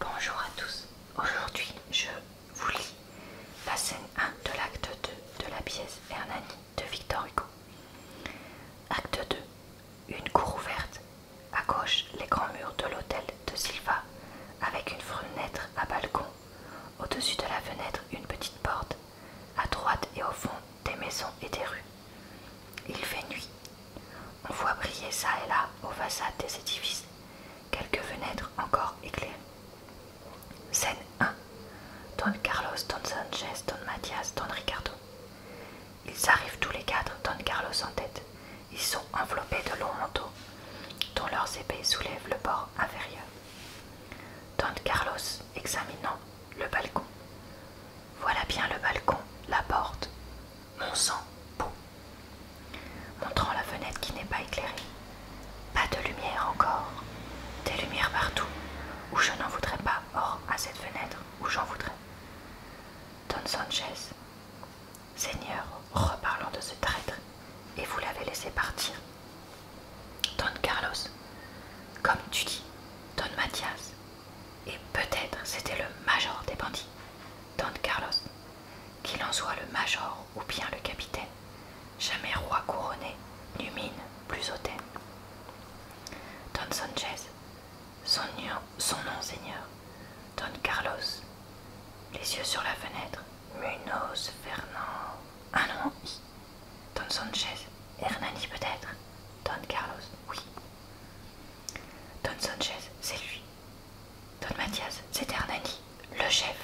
Bonjour à tous, aujourd'hui je vous lis la scène 1 de l'acte 2 de la pièce Hernani de Victor Hugo. Acte 2, une cour ouverte, à gauche les grands murs de l'hôtel de Silva avec une fenêtre à balcon, au-dessus de la fenêtre une petite porte, à droite et au fond des maisons et des rues. Il fait nuit. On voit briller ça et là, aux façades des édifices, quelques fenêtres encore éclairées. Scène 1. Don Carlos, Don Sanchez, Don Mathias, Don Ricardo. Ils arrivent tous les quatre, Don Carlos en tête. Ils sont enveloppés de longs manteaux, dont leurs épées soulèvent le bord inférieur. Don Carlos examinant le balcon. Voilà bien le balcon, la porte. Mon sang, beau. » Montrant la fenêtre qui n'est pas éclairée. Pas de lumière encore. Des lumières partout. Où je n'en voudrais pas. Or, à cette fenêtre, où j'en voudrais. Don Sanchez. Seigneur, reparlons de ce traître, et vous l'avez laissé partir. Don Carlos. Comme tu dis, Don Mathias, et peut-être c'était le major des bandits, Don Carlos, qu'il en soit le major ou bien le capitaine, jamais roi couronné, mine plus hautaine. Don Sanchez, son, son nom seigneur, Don Carlos, les yeux sur la fenêtre, Munoz Fernand, un ah nom Don Sanchez Hernani peut-être Don Carlos, oui. Don Sanchez, c'est lui. Don Mathias, c'est Hernani, le chef.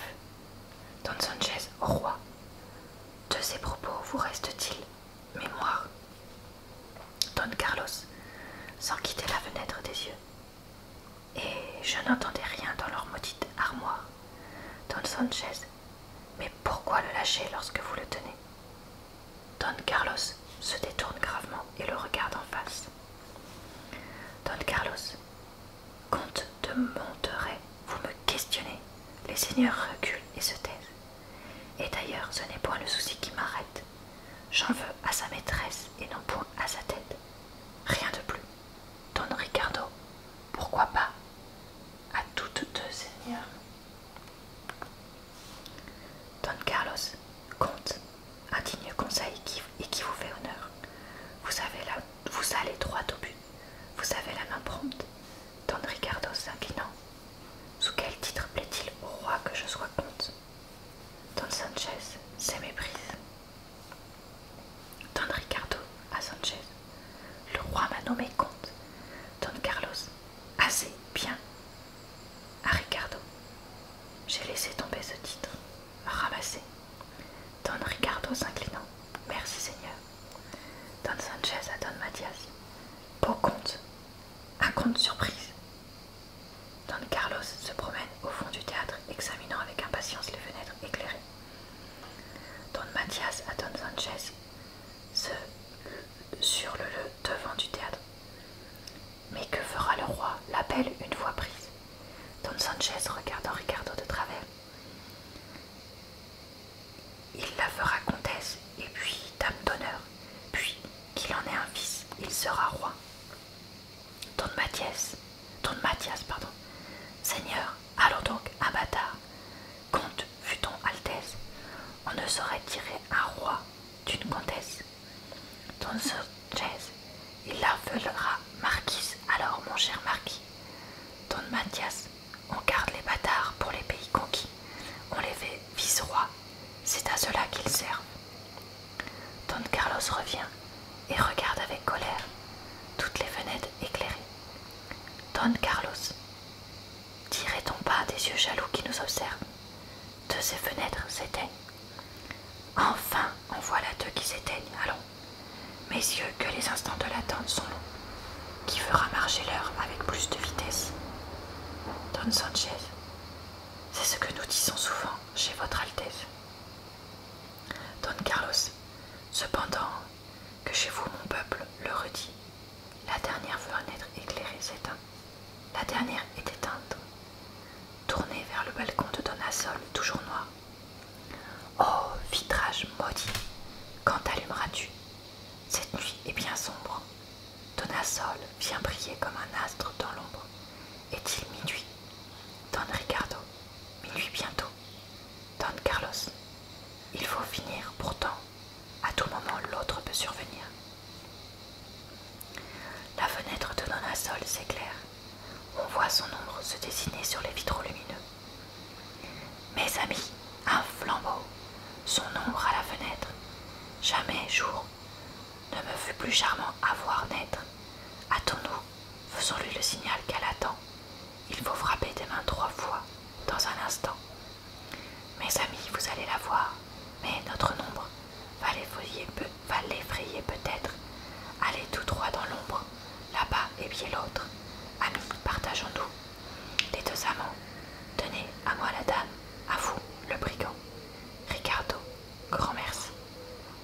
Don Sanchez, roi. De ces propos vous reste-t-il mémoire Don Carlos, sans quitter la fenêtre des yeux. Et je n'entendais rien dans leur maudite armoire. Don Sanchez, mais pourquoi le lâcher lorsque vous le tenez Don Carlos se détourne gravement et le regarde en face. Don Carlos, comte de Monterey, vous me questionnez. Les seigneurs reculent et se taisent. Et d'ailleurs, ce n'est point le souci qui m'arrête. J'en veux à sa maîtresse et non point à sa tête. Rien de plus. Don Ricardo, pourquoi pas à toutes deux, seigneurs, Don Carlos, comte, un digne conseil qui, et qui vous fait honneur. Vous, avez là, vous allez droit au but, vous avez la main prompte. Don Ricardo s'inclinant. Sous quel titre plaît-il au roi que je sois comte Don Sanchez, c'est méprise. Don Ricardo à Sanchez, le roi m'a nommé comte. Don Carlos, assez bien. À ah, Ricardo, j'ai laissé tomber ce titre, ramassé. Don Ricardo s'inclinant, merci Seigneur. Don Sanchez à Don Mathias, beau comte, un comte surprise. Don Carlos se promène au fond du théâtre, examinant avec impatience les fenêtres éclairées. Don Mathias à Don Sanchez se sur le, devant du théâtre. Mais que fera le roi L'appel une fois prise. Don Sanchez regardant Ricardo de travers. Il la fera comtesse et puis dame d'honneur, puis qu'il en ait un fils, il sera roi. Don Mathias, Don Mathias, pardon. Seigneur, allons donc, à bâtard Comte, fut-on Altesse, on ne saurait tirer un roi d'une comtesse. Don Chaise, il la fera marquise, alors mon cher marquis. Don Mathias, on garde les bâtards pour les pays conquis, on les fait vice-rois, c'est à cela qu'ils servent. Don Carlos revient et regarde avec colère toutes les fenêtres éclairées. Don Carlos, dirait-on pas des yeux jaloux qui nous observent de ces fenêtres s'éteignent. Enfin, en voilà deux qui s'éteignent, allons. Mes yeux, que les instants de l'attente sont longs. Qui fera marcher l'heure avec plus de vitesse Don Sanchez, c'est ce que nous disons souvent chez Votre Altesse. Don Carlos, cependant que chez vous mon peuple le redit, la dernière être éclairée s'éteint. La dernière est éteinte, tournée vers le balcon de Assol, toujours noir. Oh, vitrage maudit, quand allumeras-tu Cette nuit est bien sombre, Donasol vient briller comme un astre dans l'ombre. Est-il minuit Don Ricardo, minuit bientôt. Don Carlos, il faut finir pourtant. À tout moment, l'autre peut survenir. La fenêtre de Donasol s'éclaire. On voit son ombre se dessiner sur les vitraux lumineux. Mes amis, un flambeau, son ombre à la fenêtre. Jamais jour ne me fut plus charmant à voir naître. Hâtons-nous, faisons-lui le signal qu'elle attend. Il faut frapper des mains trois fois, dans un instant. Mes amis, vous allez la voir, mais notre nombre va l'effrayer peut-être. Allez tous trois dans l'ombre, là-bas et bien l'autre. à nous partageons-nous. Les deux amants. Tenez, à moi la dame, à vous le brigand. Ricardo, grand merci.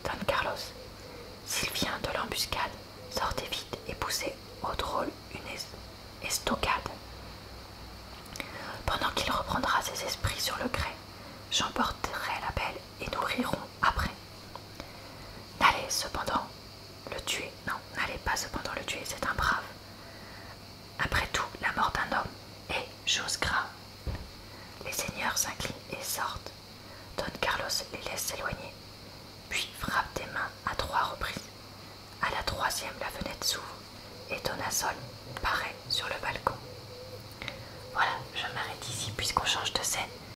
Don Carlos, s'il vient de l'embuscade, sortez vite et poussez au drôle une estocade. Pendant qu'il reprendra ses esprits sur le grès, j'emporterai la belle et nous rirons après. Allez cependant le tuer, non, n'allez pas cependant le tuer, c'est un brave. Après tout, la mort d'un homme est chose grave. Les seigneurs s'inclinent et sortent. Don Carlos les laisse s'éloigner, puis frappe des mains à trois reprises. À la troisième, la fenêtre s'ouvre et Sol paraît sur le balcon. Voilà, je m'arrête ici puisqu'on change de scène.